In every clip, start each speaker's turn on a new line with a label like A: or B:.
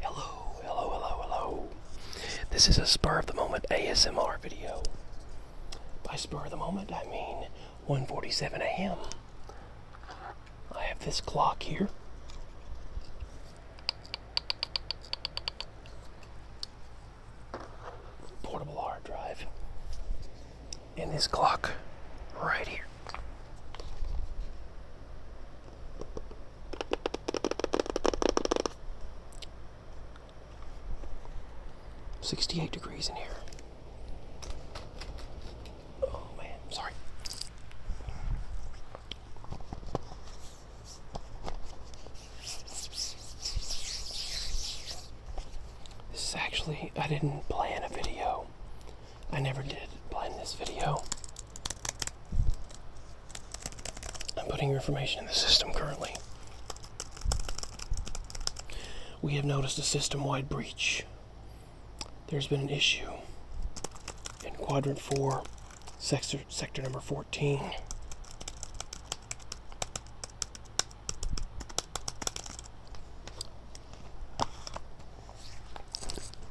A: Hello, hello, hello, hello. This is a spur of the moment ASMR video. By spur of the moment, I mean 1:47 a.m. I have this clock here. Portable hard drive. And this clock right here. 68 degrees in here. Oh man, sorry. This is actually, I didn't plan a video. I never did plan this video. I'm putting your information in the system currently. We have noticed a system wide breach. There's been an issue in quadrant 4, sector, sector number 14.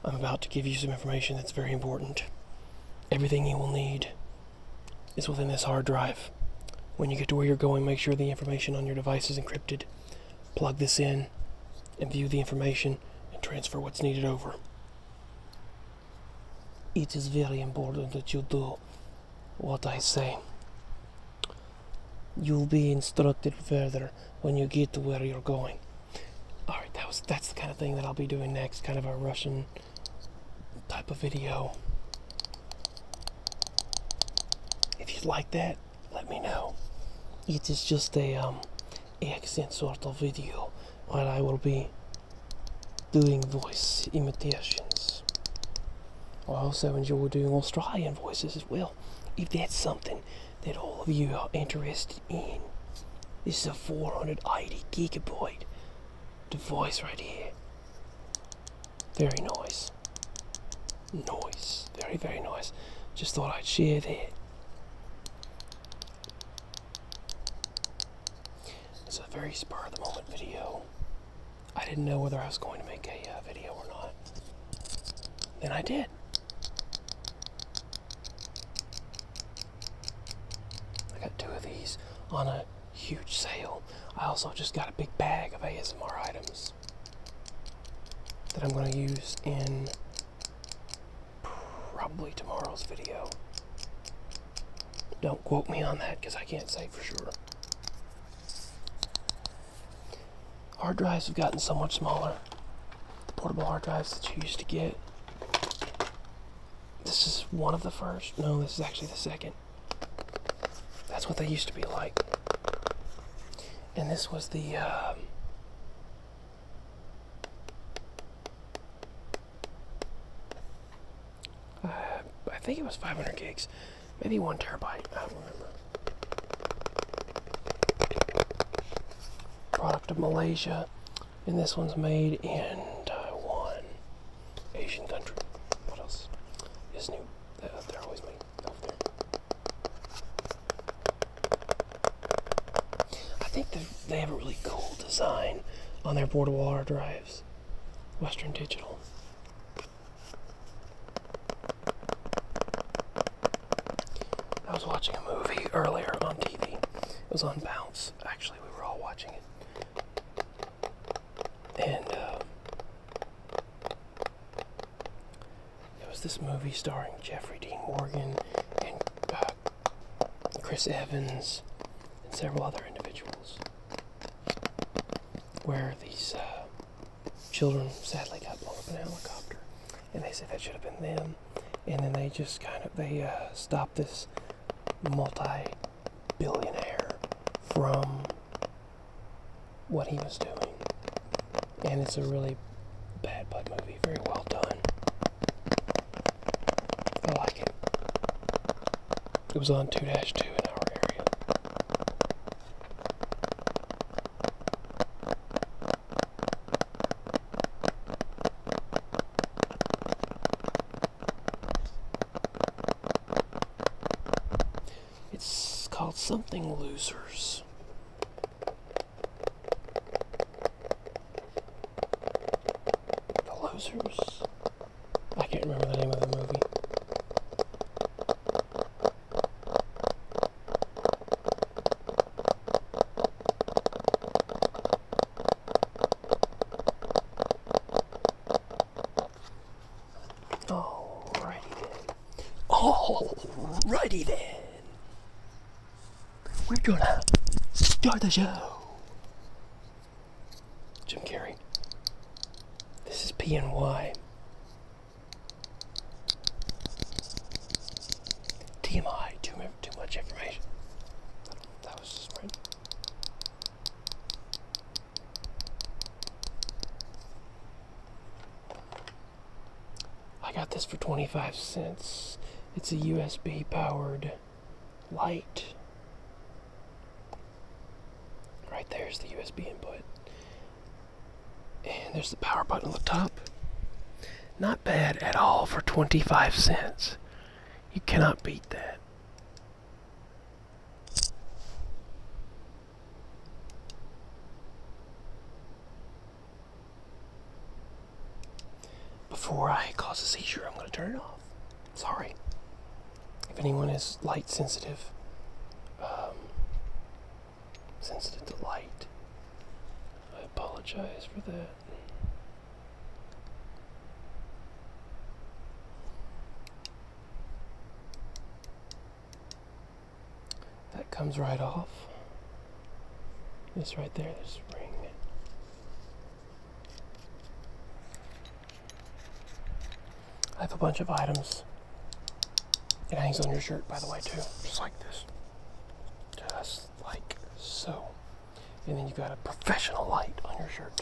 A: I'm about to give you some information that's very important. Everything you will need is within this hard drive. When you get to where you're going, make sure the information on your device is encrypted. Plug this in and view the information and transfer what's needed over. It is very important that you do what I say. You'll be instructed further when you get to where you're going. All right, that was that's the kind of thing that I'll be doing next, kind of a Russian type of video. If you like that, let me know. It is just a um, accent sort of video where I will be doing voice imitations. I also enjoy doing Australian voices as well, if that's something that all of you are interested in. This is a 480 gigabyte device right here. Very nice. noise. Very, very nice. Just thought I'd share that. It's a very spur of the moment video. I didn't know whether I was going to make a uh, video or not. Then I did. I got two of these on a huge sale. I also just got a big bag of ASMR items that I'm going to use in probably tomorrow's video. Don't quote me on that because I can't say for sure. Hard drives have gotten so much smaller. The portable hard drives that you used to get. This is one of the first. No, this is actually the second. That's what they used to be like. And this was the. Uh, uh, I think it was 500 gigs, maybe one terabyte. Product of Malaysia, and this one's made in Taiwan, Asian country. What else is new? they're always made over there. I think they have a really cool design on their portable hard drives. Western Digital. I was watching a movie earlier on TV. It was on Bounce. Actually, we were all watching it. And uh, it was this movie starring Jeffrey Dean Morgan and uh, Chris Evans and several other individuals where these uh, children sadly got blown up in a helicopter, and they said that should have been them. And then they just kind of they uh, stopped this multi-billionaire from what he was doing, and it's a really bad but movie, very well done. I like it. It was on 2-2 in our area. It's called something losers. The losers. I can't remember the name of the movie righty then. righty then. We're gonna start the show. Jim Carrey. This is P and Y. TMI, too, too much information. That was just I got this for 25 cents. It's a USB powered light. Right there's the USB input. And there's the power button on the top. Not bad at all for 25 cents. You cannot beat that. Before I cause a seizure, I'm going to turn it off. Sorry if anyone is light sensitive, um, sensitive to light, I apologize for that. That comes right off. This right there, this ring. I have a bunch of items. It hangs on your shirt, by the way, too. Just like this. Just like so. And then you have got a professional light on your shirt.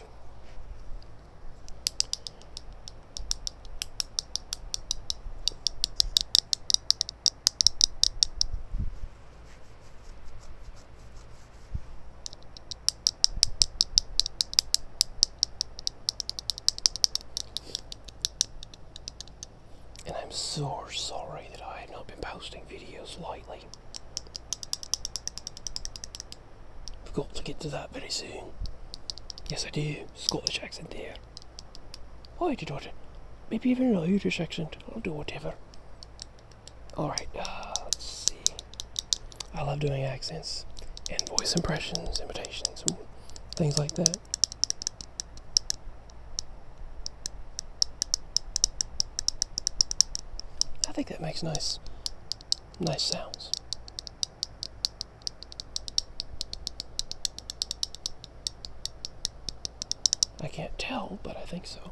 A: And I'm so sorry that I have not been posting videos lately. I've got to get to that very soon. Yes, I do. Scottish accent there. I do it. Maybe even an Irish accent. I'll do whatever. Alright, uh, let's see. I love doing accents and voice impressions, imitations, things like that. I think that makes nice, nice sounds. I can't tell, but I think so.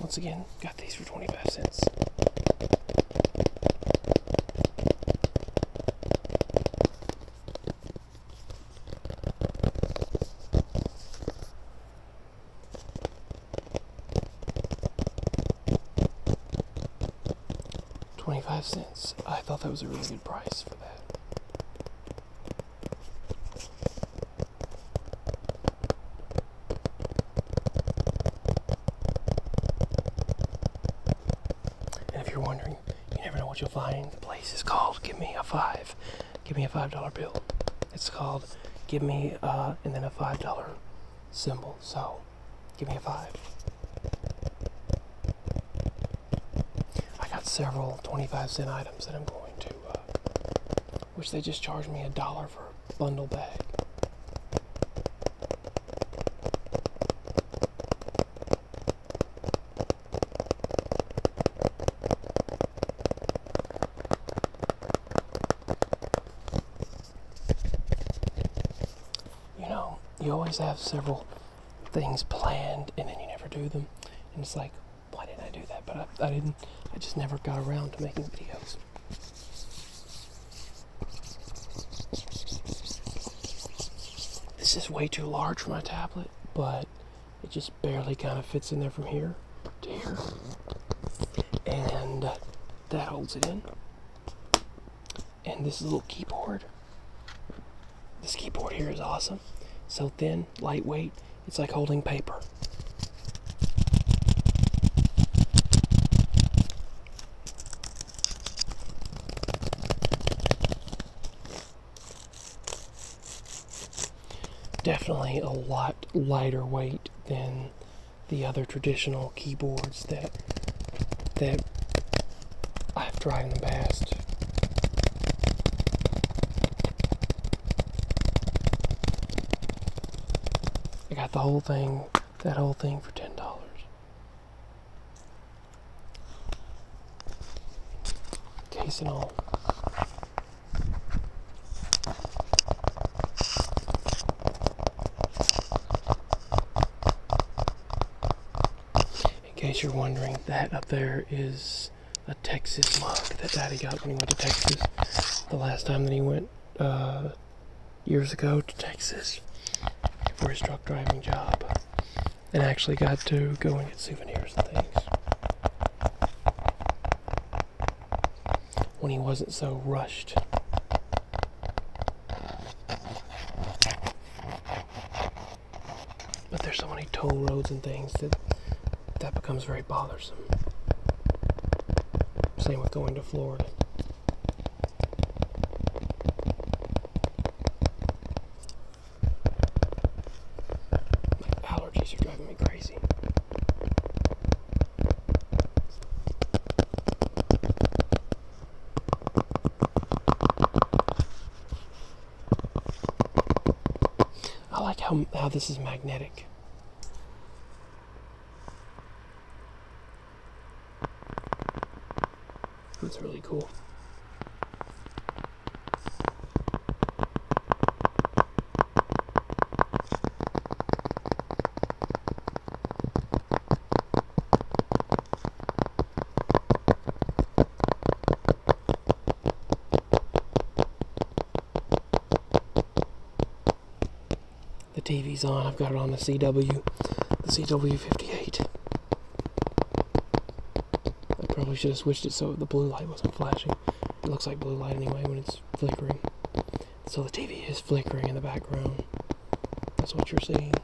A: Once again, got these for 25 cents. Twenty-five cents. I thought that was a really good price for that if you're wondering, you never know what you'll find. The place is called Give Me a Five. Give Me a Five Dollar Bill. It's called Give Me uh, and then a Five Dollar symbol. So, give me a five. I got several 25 cent items that I'm going to uh, which they just charged me a dollar for a bundle bag. You know, you always have several things planned and then you never do them. And it's like, why didn't I do that? But I, I didn't, I just never got around to making videos. This is way too large for my tablet, but it just barely kind of fits in there from here to here. And that holds it in. And this little keyboard. This keyboard here is awesome. So thin, lightweight, it's like holding paper. Definitely a lot lighter weight than the other traditional keyboards that that I've tried in the past. I got the whole thing, that whole thing for $10. Case and all. In case you're wondering, that up there is a Texas mug that Daddy got when he went to Texas. The last time that he went uh, years ago to Texas for his truck driving job, and actually got to go and get souvenirs and things when he wasn't so rushed. But there's so many toll roads and things that that becomes very bothersome. Same with going to Florida. allergies are driving me crazy. I like how, how this is magnetic. It was really cool. The TV's on. I've got it on the CW, the CW58. I probably should have switched it so the blue light wasn't flashing. It looks like blue light anyway when it's flickering. So the TV is flickering in the background. That's what you're seeing.